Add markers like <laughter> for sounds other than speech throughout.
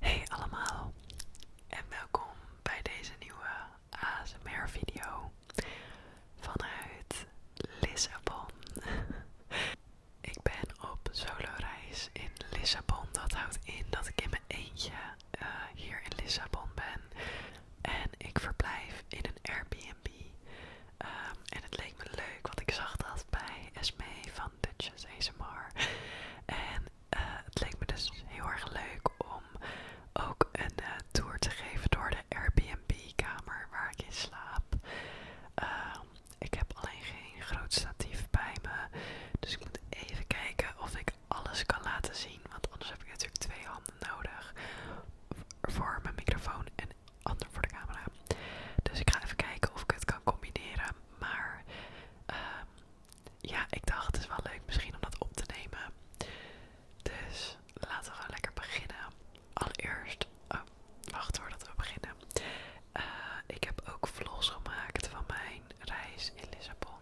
Hey allemaal en welkom bij deze nieuwe ASMR video vanuit Lissabon. <laughs> ik ben op solo reis in Lissabon. Dat houdt in dat ik in mijn eentje eh, hier in Lissabon ben. En ik verblijf in een Airbnb. Ehm, en het leek me leuk, wat ik zag dat bij Esme van Dutchess ASMR. Eh, het leek me dus heel erg leuk om ook een eh, tour te geven door de Airbnb-kamer waar ik in slaap. Ehm, ik heb alleen geen groot statief bij me, dus ik moet even kijken of ik alles kan laten zien. Want anders heb ik natuurlijk twee handen nodig voor mijn microfoon en ander voor de camera. Dus ik ga even kijken of ik het kan combineren. Maar ehm, ja, ik dacht het is wel leuk misschien om dat op te nemen. Dus laten we gewoon lekker beginnen. Allereerst, oh, wacht voordat we beginnen. Eh, ik heb ook vlogs gemaakt van mijn reis in Lissabon.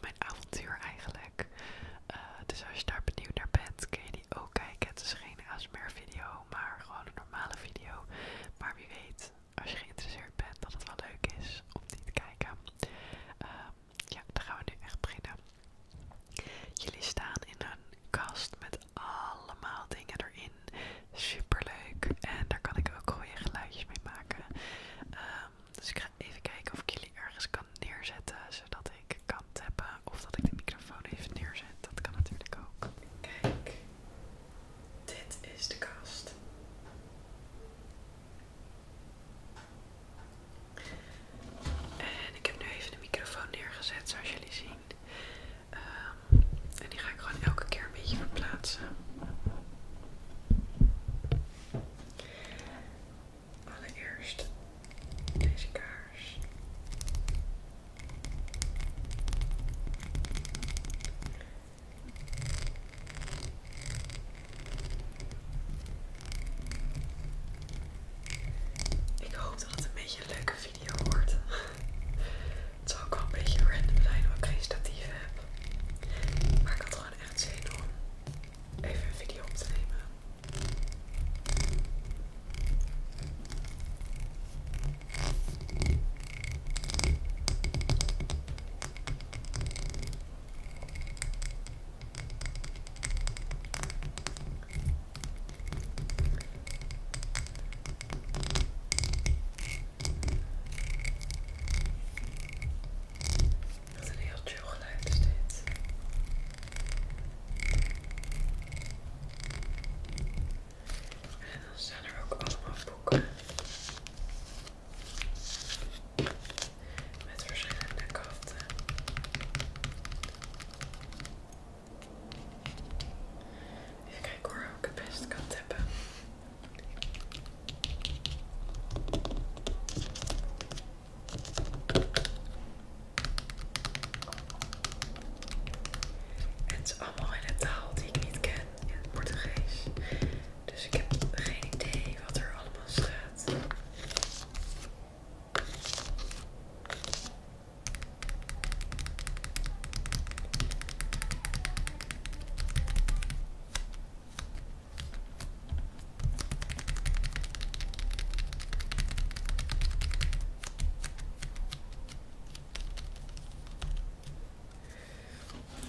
mijn avontuur eigenlijk. Eh, dus als je daar benieuwd naar bent, kun je die ook kijken. Het is geen ASMR video, maar gewoon een normale video. Maar wie weet als je geïnteresseerd bent, dat het wel leuk is om die te kijken. Ehm, ja, dan gaan we nu echt beginnen. Jullie staan in een kast met allemaal dingen erin. Super leuk. En daar kan ik ook goede geluidjes mee maken. Ehm, dus ik ga even kijken of ik jullie ergens kan neerzetten, zodat ik kan tappen. Of dat ik de microfoon even neerzet. Dat kan natuurlijk ook. Kijk. Dit is de kast. En ik heb nu even de microfoon neergezet, zoals jullie zien. Ehm, en die ga ik gewoon elke keer een beetje verplaatsen. Allereerst deze kaart. Ik hoop dat het een beetje een leuke video wordt. het zal ook wel een beetje random zijn omdat ik geen statief heb. Maar ik had gewoon echt zin om even een video op te nemen. Wat een heel chill geluid is dus dit. En dan staan er ook allemaal boeken. Met verschillende kanten. Even kijken hoor ook het best kan hebben. En het is allemaal in een taal die ik niet ken, in het Portugees. Dus ik heb geen idee wat er allemaal staat.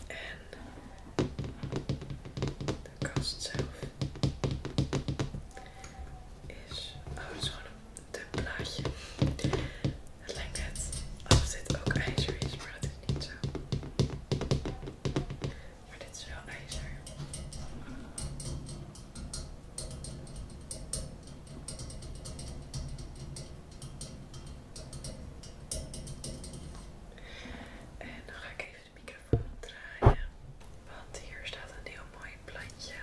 En de kast zelf oh, is, gewoon een dun plaatje. Het lijkt het alsof dit ook ijzer is, maar dat is niet zo. Maar dit is wel ijzer. En dan ga ik even de microfoon draaien, want hier staat een heel mooi plantje.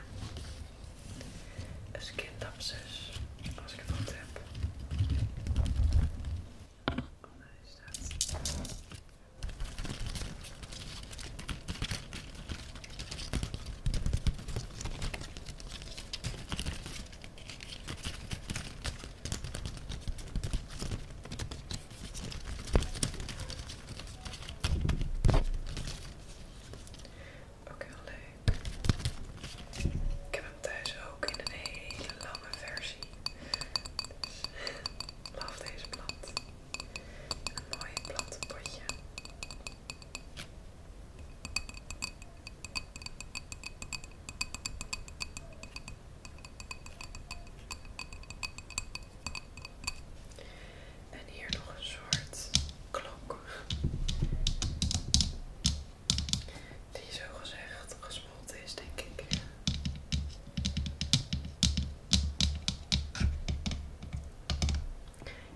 Een skindapsus, als ik het goed heb. Hij staat ook heel leuk. Ik heb hem thuis ook in een hele lange versie. Dus <laughs> love deze plant. Een mooi potje. En hier nog een soort klok. Die zo gezegd gesmolten is, denk ik.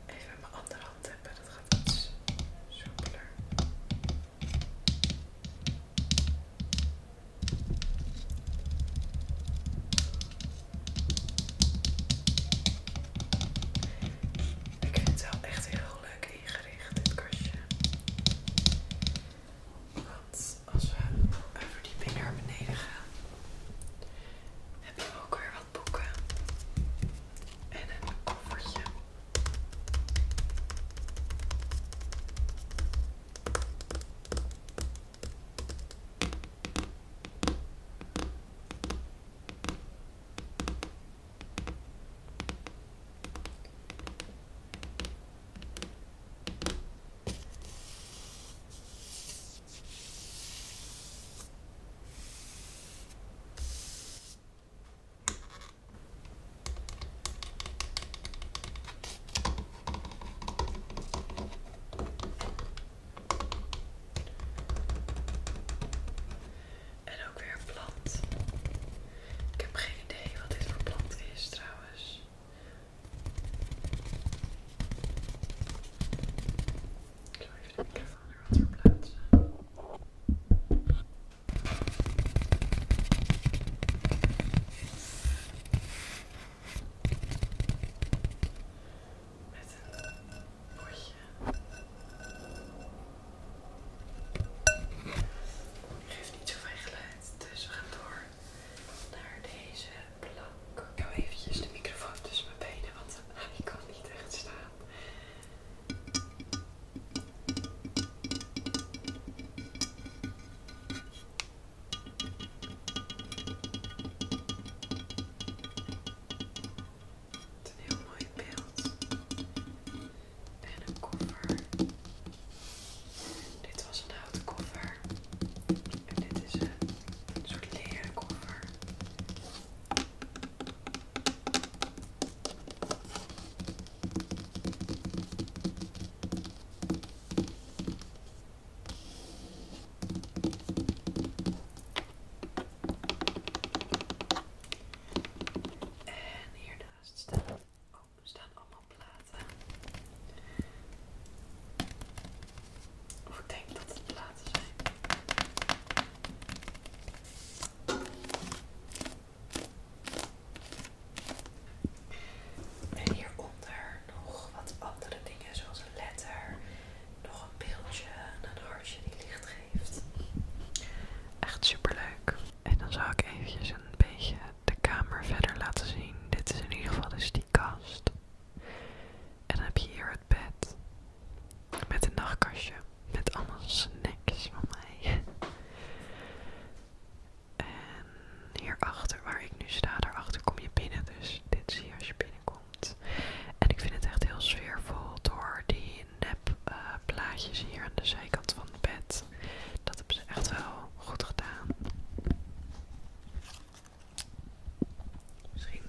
Even met mijn andere hand hebben, dat gaat iets soepeler. Ik vind het wel echt heel leuk ingericht, dit kastje. Want als we een verdieping naar beneden gaan, heb je ook weer wat boeken en een koffertje. En ook weer een plant. Ik heb geen idee wat dit voor plant is trouwens. Ik ga even de microfoon er plaats? Met een potje. niet dus we gaan door naar deze plank. Ik hou eventjes de microfoon tussen mijn benen, want ik kan niet echt staan. Het is een heel mooi beeld. En een koffer. Dit was een houten En dit is een soort leren koffer. En hiernaast staat ook Oh, er staan allemaal platen. ik denk dat het platen zijn. En hieronder nog wat andere dingen, zoals een letter, nog een beeldje een hartje die licht Echt super leuk. En dan zal ik even een beetje de kamer verder laten zien. Dit is in ieder geval de dus die kast. En dan heb je hier het bed. Met een nachtkastje. Met allemaal snacks van mij. En hierachter, waar ik nu sta, daarachter kom je binnen. Dus dit zie je als je binnenkomt. En ik vind het echt heel sfeervol door die plaatjes eh, hier aan de zijkant van het bed. Dat hebben ze echt wel goed gedaan. Misschien,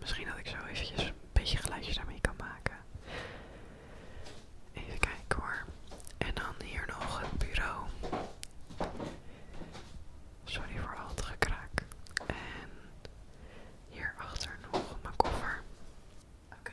misschien dat ik zo eventjes een beetje geluidjes daarmee kan maken. Even kijken hoor. En dan hier nog het bureau. Sorry voor al het gekraak. En hierachter nog mijn koffer. Oké,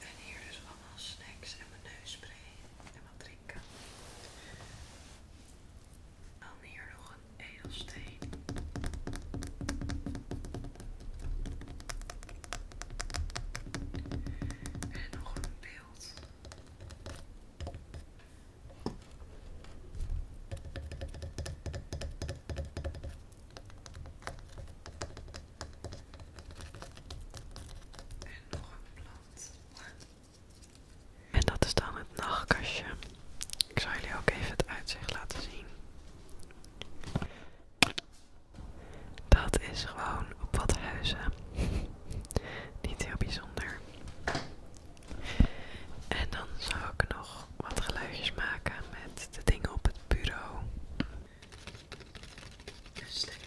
En hier dus allemaal snacks en mijn neusspray en wat drinken. Dan hier nog een edelsteen. En nog een beeld. En nog een blad. En dat is dan het nachtkastje. Ik zal jullie ook even het uitzicht laten zien. Dat is gewoon op wat huizen. <laughs> Niet heel bijzonder. En dan zou ik nog wat geluidjes maken met de dingen op het bureau. Een stukje.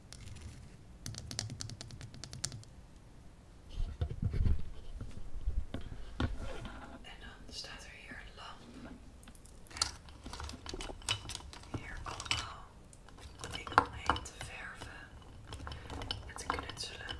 En dan staat er hier een lamp. Hier allemaal ik omheen te verven en te knutselen.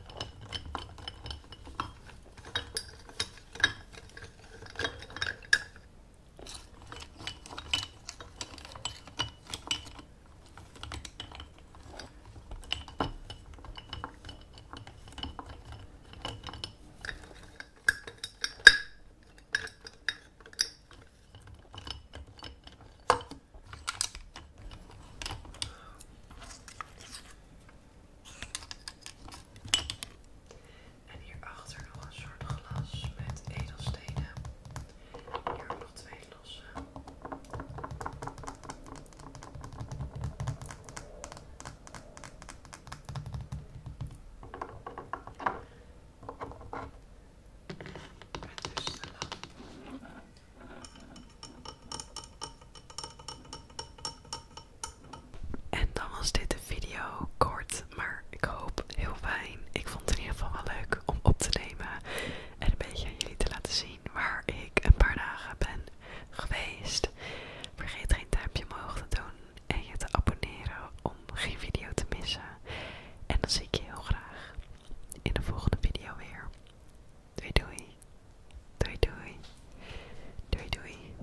En hier achter nog een soort glas met edelstenen. Hier nog twee de En dan was dit de video kort maar ik hoop heel fijn. Ik vond het in ieder geval wel leuk om op te nemen en een beetje aan jullie te laten zien waar ik een paar dagen ben geweest. Vergeet geen duimpje omhoog te doen en je te abonneren om geen video te missen. En dan zie ik je heel graag in de volgende video weer. Doei doei. Doei doei. Doei doei.